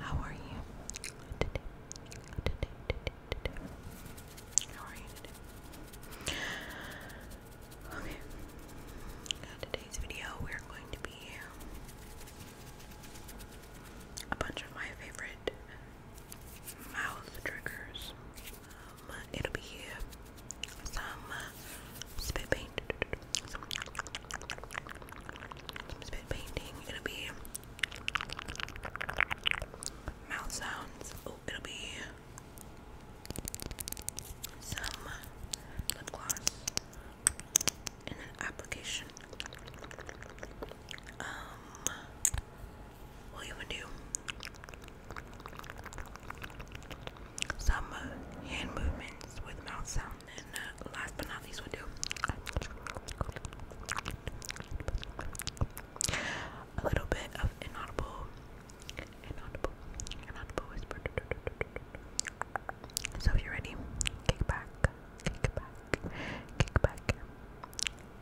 How are you today? Today, today, today. How are you Okay. Now today's video, we're going to be a bunch of my favorite mouth triggers it'll be here. Some spit painting. It'll be mouth sounds. Oh, it'll be some lip gloss and an application. Um, we'll even do some uh, hand movements with mouth sound. And uh, last but not least, we do a little bit of inaudible, inaudible, inaudible whisper. So if you're ready, kick back, kick back, kick back,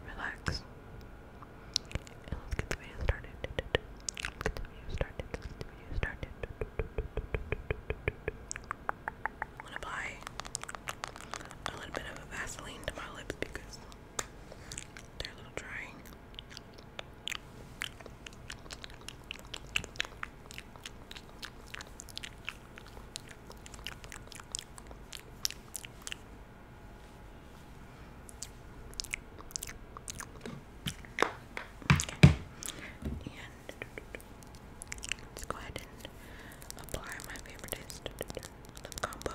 relax, and let's get the video started. Let's get the video started. Let's get the video started. I'm gonna apply a little bit of Vaseline to my lips because they're a little drying. And let's go ahead and apply my favoriteest combo.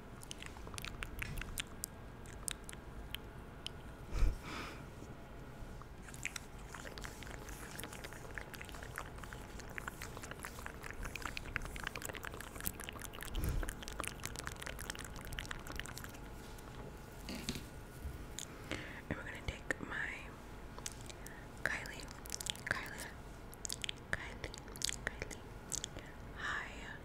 and we're gonna take my Kylie, Kylie, Kylie, Kylie, high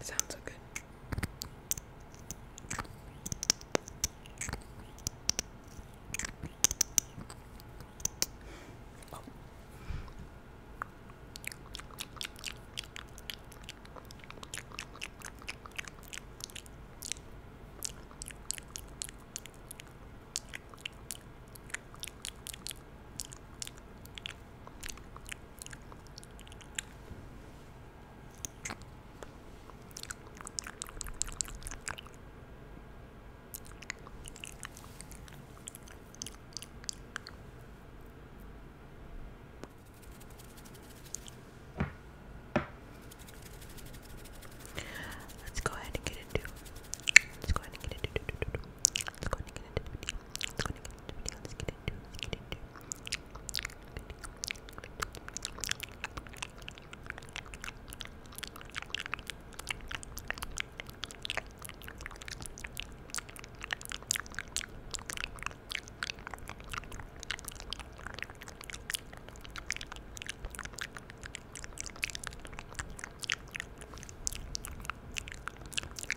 it sounds so good. Let's go ahead and get it. Let's go ahead and get it let's go and get into the video. Let's go and get into the video. Let's get into Let's get into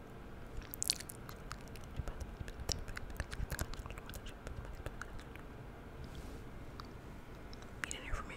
You didn't hear from me.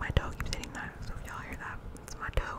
My toe keeps hitting that, so if y'all hear that, it's my toe.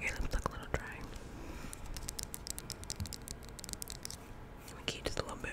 Your lips look a little dry. Let me keep just a little bit.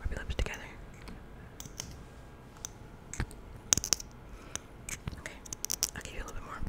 Rub your lips together. Okay, I'll give you a little bit more. Okay.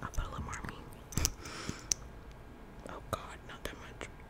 I'll put a little more meat. oh god, not that much.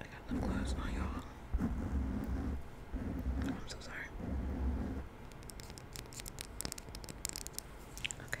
I got lip gloss on y'all. I'm so sorry. Okay.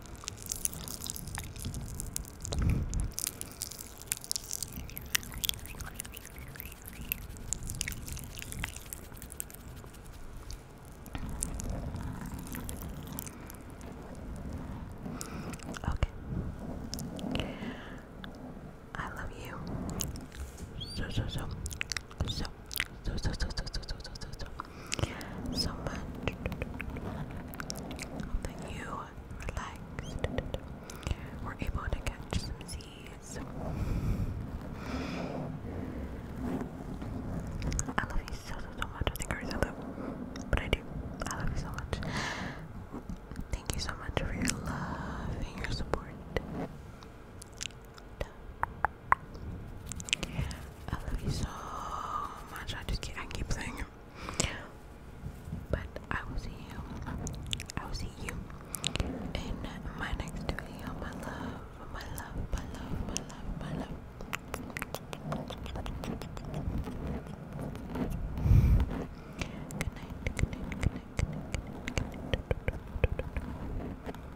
Okay. I love you so so so so so so so so so so so so so much that you relaxed were able to catch some Z's. I love you so so so much. I think I already said but I do. I love you so much. Thank you so much for your love and your support. I love you so much. I just can I keep saying But I will see you. I will see you in my next video. My love, my love, my love, my love, my love. Good night